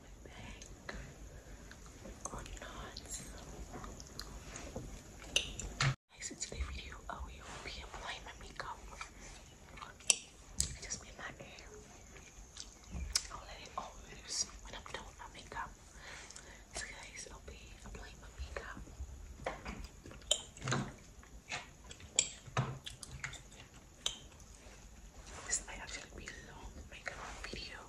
make or not. video, I will be applying my makeup. I just made my hair. I'll let it all loose when I'm done my makeup. So guys, I'll be applying my makeup. This might actually be a long makeup video.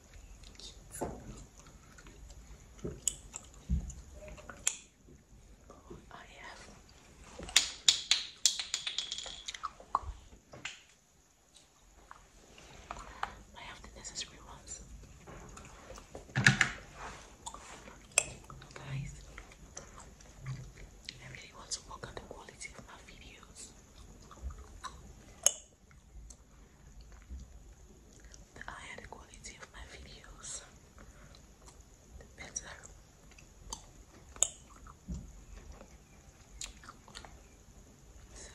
I have I have the necessary ones. Guys, I really want to work on the quality of my videos the higher the quality of my videos, the better. So,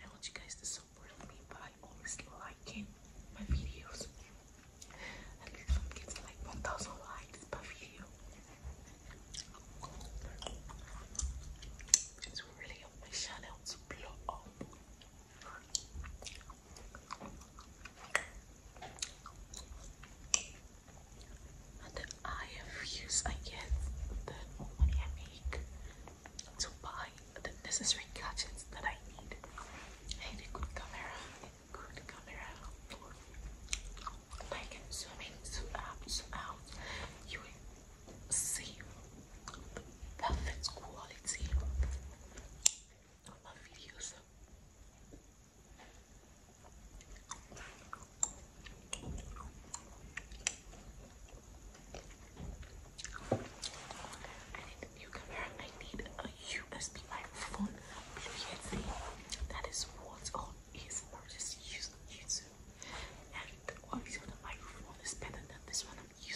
I want you guys to support me by always liking my videos. At least I'm getting like 1000 likes per video. It really help my channel to blow up. And the higher views I get, the money I make to buy the necessary gadgets that I need. I good camera, good camera. I can zoom in, zoom out. You see perfect quality of my videos. I need a new camera. I need a USB microphone. Blue Yeti. That is what all his Or just use YouTube. And obviously, the microphone is better than this one. I think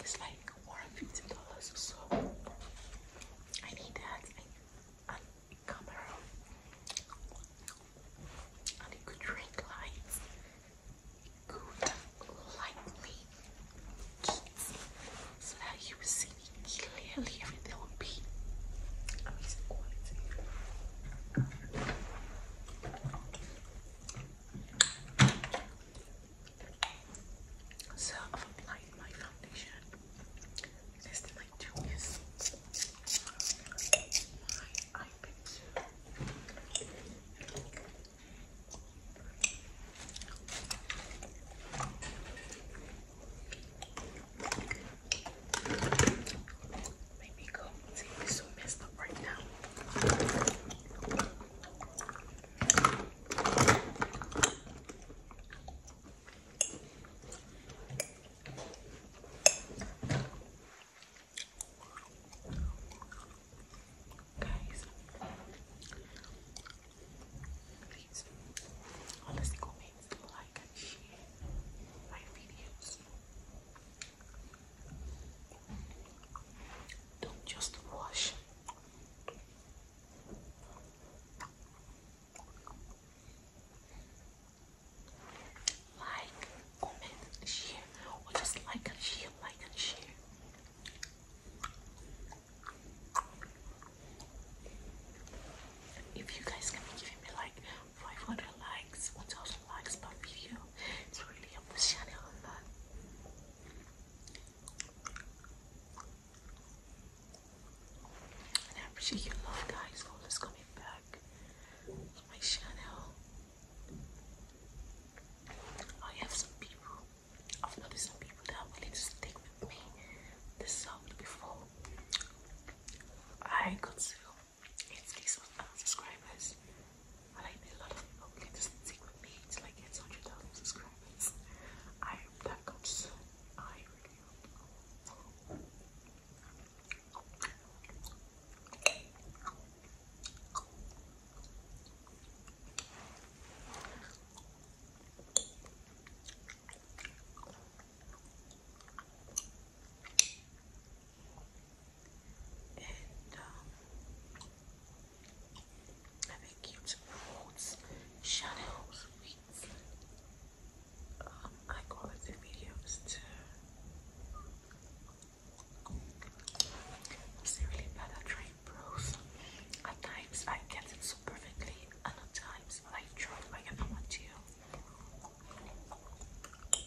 it's like more dollars so I need that camera and it drink lights. It could so that you see me clearly. Everything will be amazing so I've applied my foundation. Next thing I do is my eye pencil. Make me go. See, we so messed up right now. Guys, please, honestly, comments, like, and share my videos. Don't just wash. Like, comment, share, or just like and share, like and share. If you guys can be giving me like 500 likes, 1000 likes per video. It's really up the channel on that. And I appreciate your love, guys, for always coming back to my channel. I have some people, I've noticed some people that are willing to stick with me this summer before I got you. It's unsubscribers. I like a lot of people can just stick with me till I get 100,000 subscribers. I that comes and I've cute fruits, shadow sweets. Um, I um, videos too. It's really bad at trying pros. At times I get it so perfectly, and at times I try like I want to.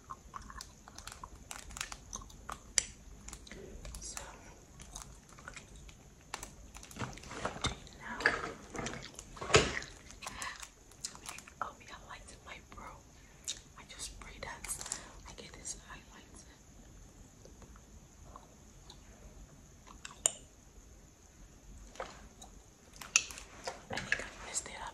So routine now. Oh yeah, to my bro. I just spray that. I get this highlight. I think I messed it up.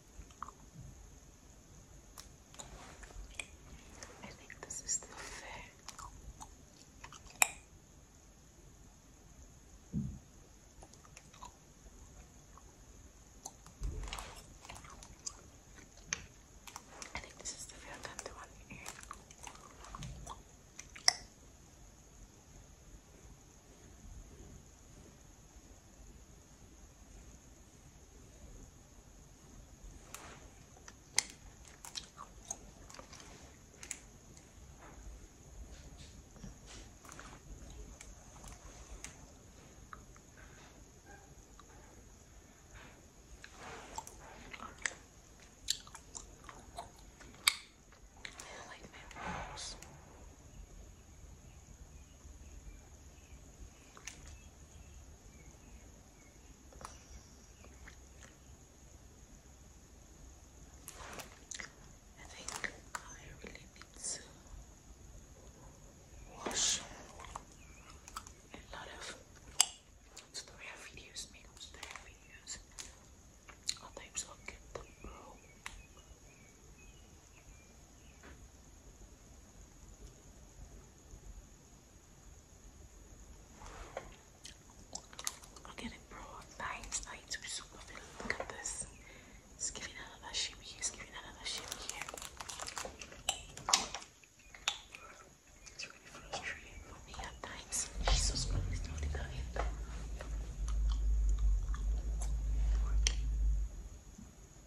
I think this is the fair. I think this is the fair I like my rolls. I think I really need to wash a lot of tutorial videos, makeup tutorial videos. All i get the bro. Look at it, bro. Nice, nice. We're super feeling. Look at this. It's giving another shimmy. It's giving another shimmy here. It's really frustrating for me at times. Jesus Christ, what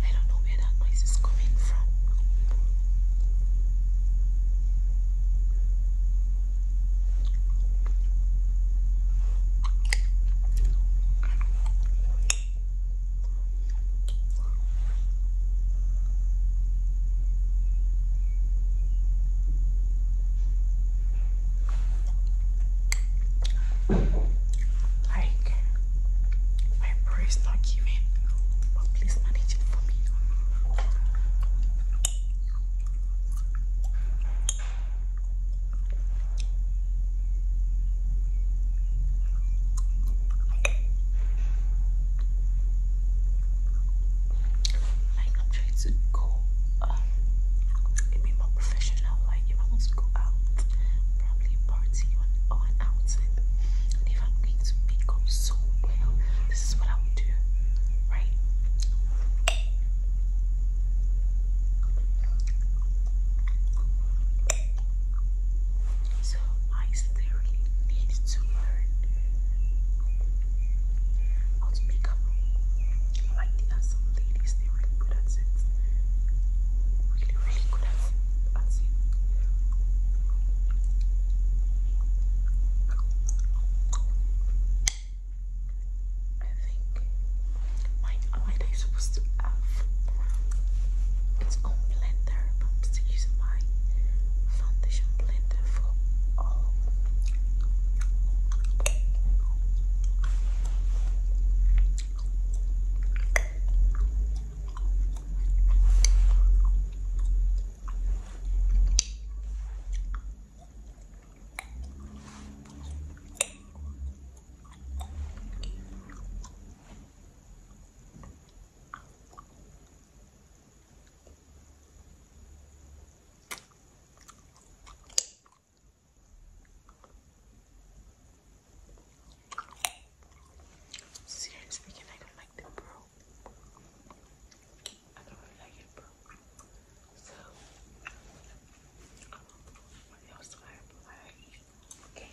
I don't know where that noise is coming from. Like, my prayer not given, but please manage it for me. Like I'm trying to go um it more professional, like if I want to go out, probably party on on outing. And if I'm going to make up so well, this is what I would do, right? So I sincerely needed to learn how to make up. Like there are some ladies, they're really good at it. Really, really good at, it. I think mine, mine is supposed to have its own blend. Therapeutics using my foundation blender for all. Seriously I don't like the bro. I don't really like it, bro. So, um, what else do I have? Okay.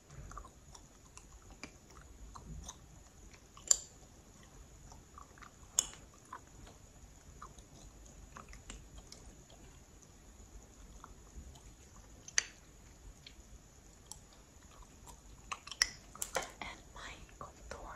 And my contour.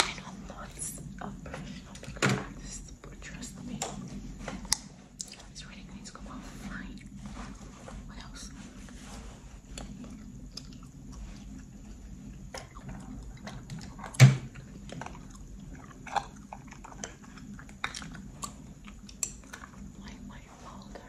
I know lots of professional makeup but trust me, it's really going come out fine. What else? Like my folder.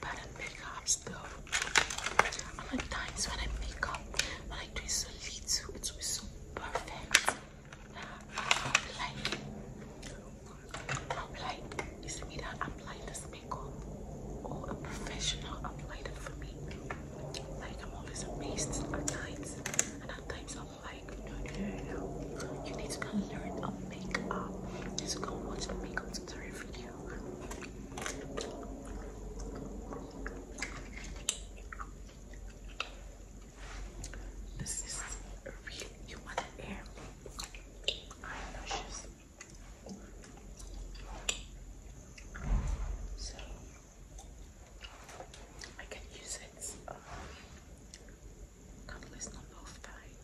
But I make up stuff. I like times when I make up, when I do so little, it's so perfect. I'll like, I'll like, you see me that apply this makeup, or a professional applied it for me. Like I'm always amazed at times, and at times I'm like, no, no, no, You need to learn makeup. Let's go watch the makeup tutorial video. This is a real human hair. Eyelashes. So I can use it um, Cuddles number five.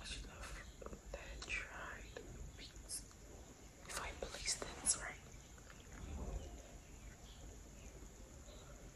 I should have then tried beans if I place things right.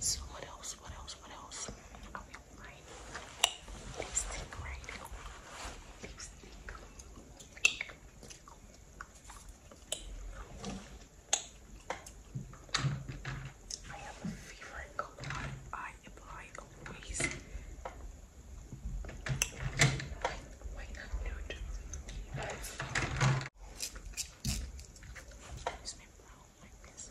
So what else? What else? What else? Are we right? Lipstick, right? Lipstick. I have a favorite color I apply always. Why, why not nude? Use my brow like this.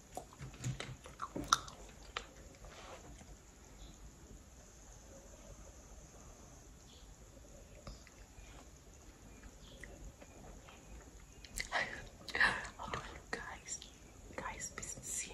Hold on, guys. Guys, be sincere.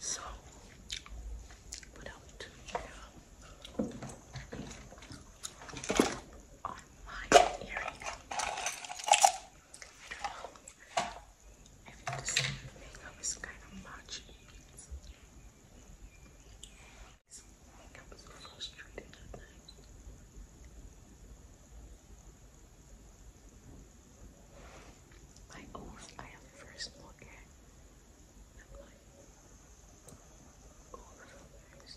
So, without um, oh, I don't know if is kind of much. Like I was so frustrated that night. My oath, I am first looker. I'm like, oh, it's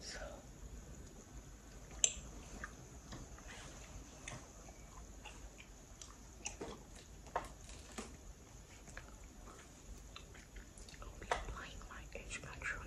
So I'll be applying my edge patch on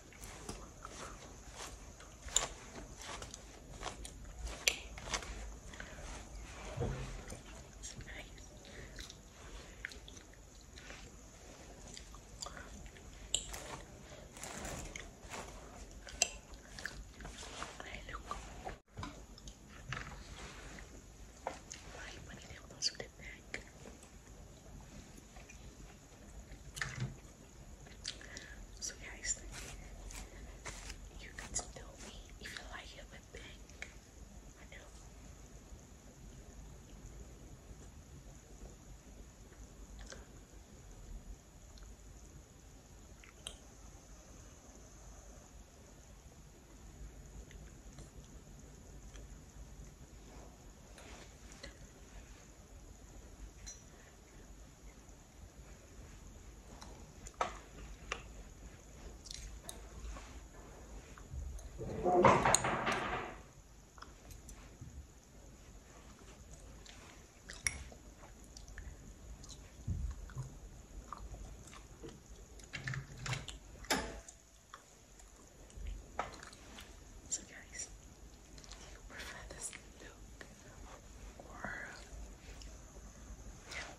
Right, put it down, put it back. So guys, you can tell me if you like it with pink so guys, prefer this look or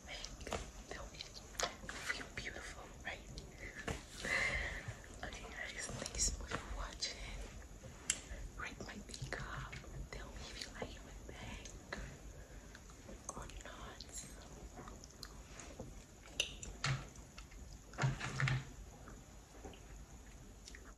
make them feel beautiful, right? okay guys, thanks for watching. Rate my makeup. Tell me if you like my bag or not.